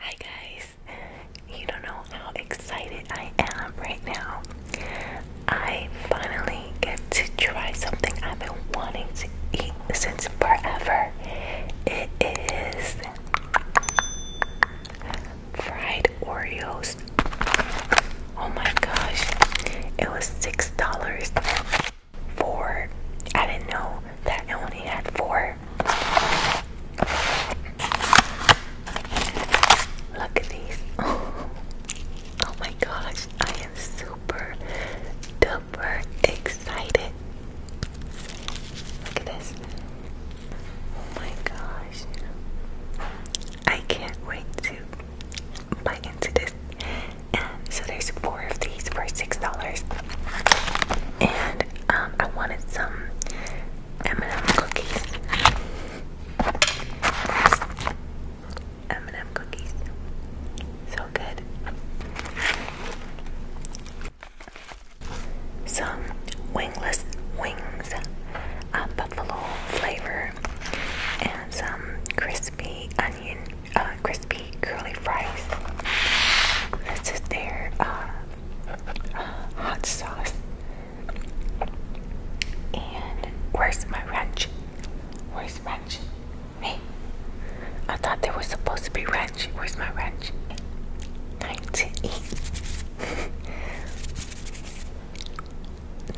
Hi guys, you don't know how excited I am right now. I finally get to try something I've been wanting to eat since forever. It is fried Oreos. Oh my gosh, it was $6. Four. I didn't know that I only had four. Look at these. Oh, my gosh, I am super duper excited. Look at this. Oh my gosh. I can't wait to bite into this so there's four of these for $6. And um, I wanted some M&M cookies. M&M cookies. So good. Some wingless wings, a uh, buffalo flavor, and some crispy uh, uh, crispy curly fries. This is their uh, uh, hot sauce. And where's my wrench? Where's ranch? Hey, I thought there was supposed to be wrench. Where's my wrench? Time to eat.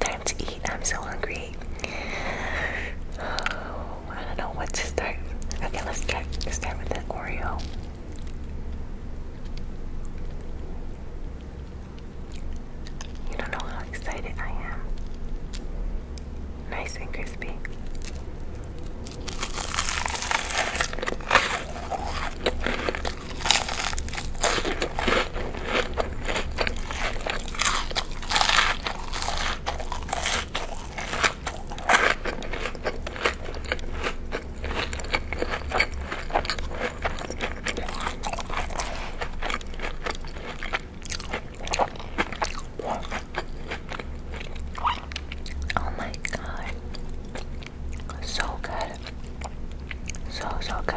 Time to eat. I'm so hungry. Oh, I don't know what to start. Okay, let's start, start with the Oreo. You don't know how excited I am. Nice and crispy. Oh my god. So good. So, so good.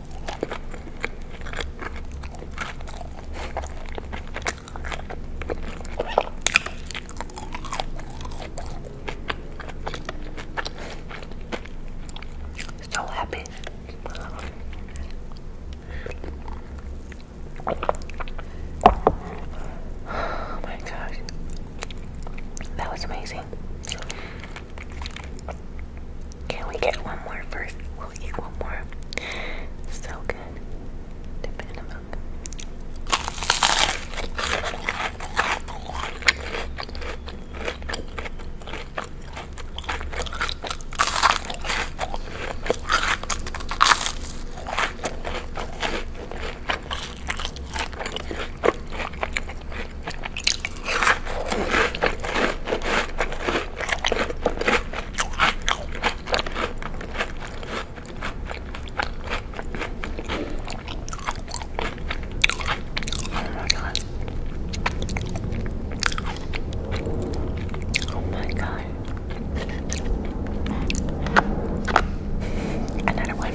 So happy. Oh my gosh. That was amazing. Can we get one more first? We'll eat one more. So good. Dip in the milk. Oh my god. Another one.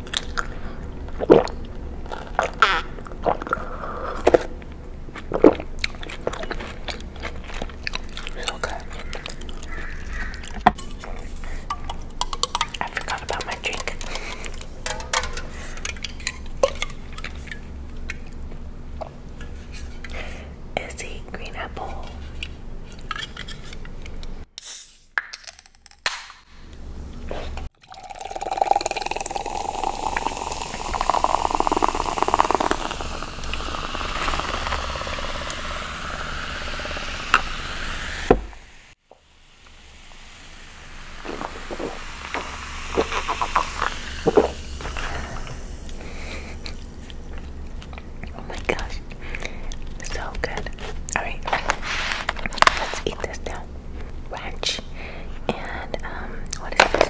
So good. I forgot about my drink. Is he green apple? Oh my gosh, so good. Alright, let's eat this now. Ranch. And, um, what is this?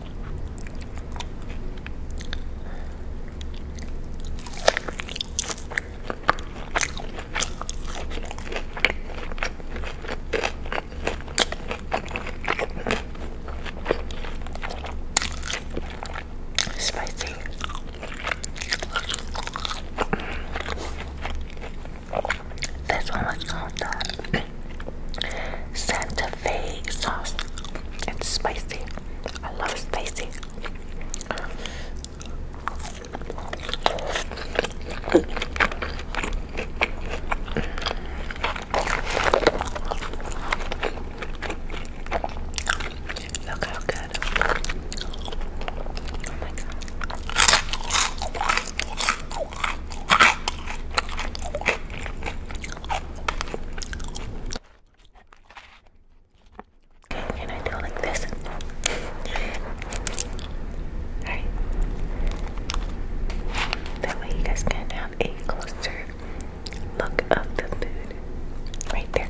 Spicy. That's how much called Santa Fe sauce. It's spicy. I love spicy. Look how good. Oh my god. Can I do it like this? Alright. That way you guys can have a closer look of the food. Right there.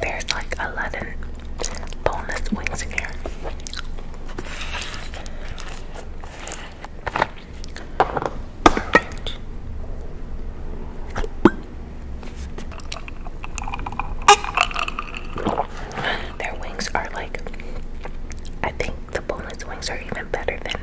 There's like a 11 boneless wings in here. Their wings are like, I think the boneless wings are even better than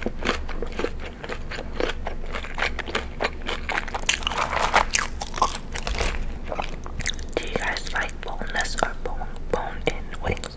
Do you guys like boneless or bone bone in wings?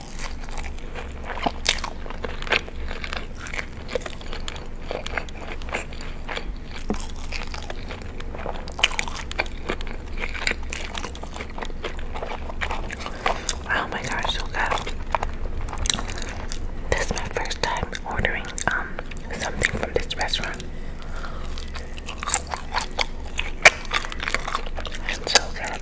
Oh my gosh, so good. This is my first time ordering um something from this restaurant. It's so good.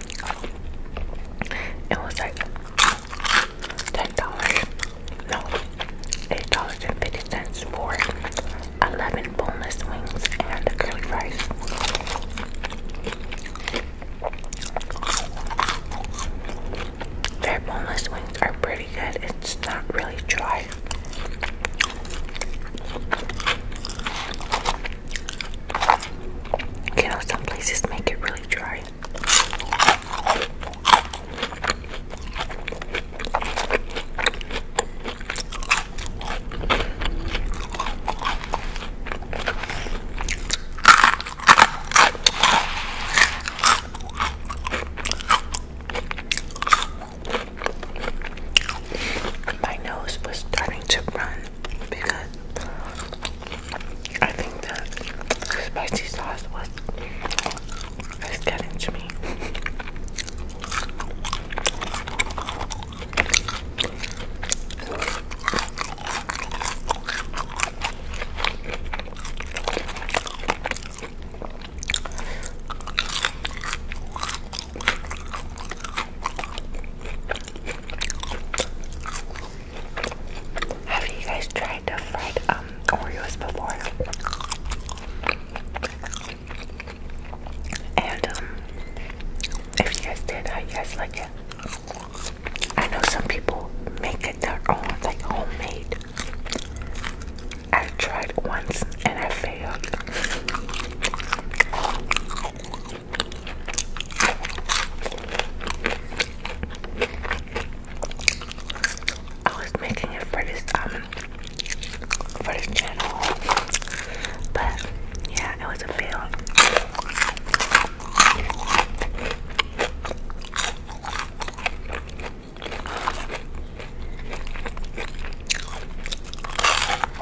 It was like ten dollars, no, eight dollars and fifty cents for eleven boneless wings and curly fries. Their boneless wings are pretty good. It's not really dry. You know, some places make it really dry. My nose was starting to run because I think that spicy sauce was getting to me. Have you guys tried to fried um Oreos before? And um, if you guys did, how you guys like it? I know some people make it their own, like homemade. I tried once and I failed. I was making it for this um for this channel, but yeah, it was a fail. I'll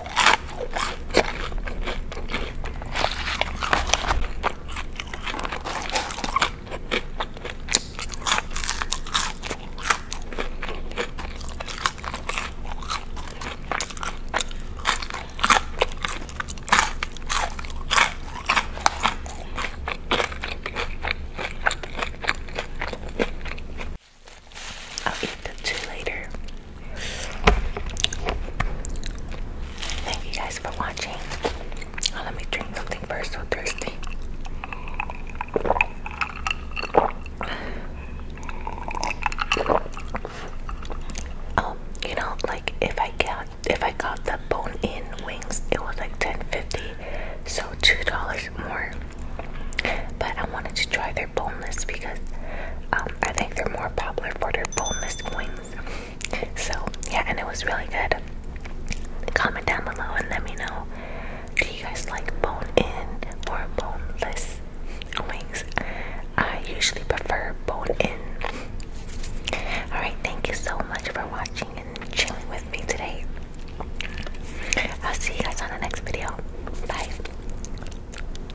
eat the two later. Thank you guys for watching. Oh, let me drink something first. So thirsty. Um, you know, like if I got if I got the bone-in wings, it was like ten fifty, so two dollars more. But I wanted to try boneless because um, I think they're more popular for their boneless wings. So yeah, and it was really good. Comment down below and let me know. Do you guys like bone in or boneless wings? I usually prefer bone in. Alright, thank you so much for watching and chilling with me today. I'll see you guys on the next video. Bye.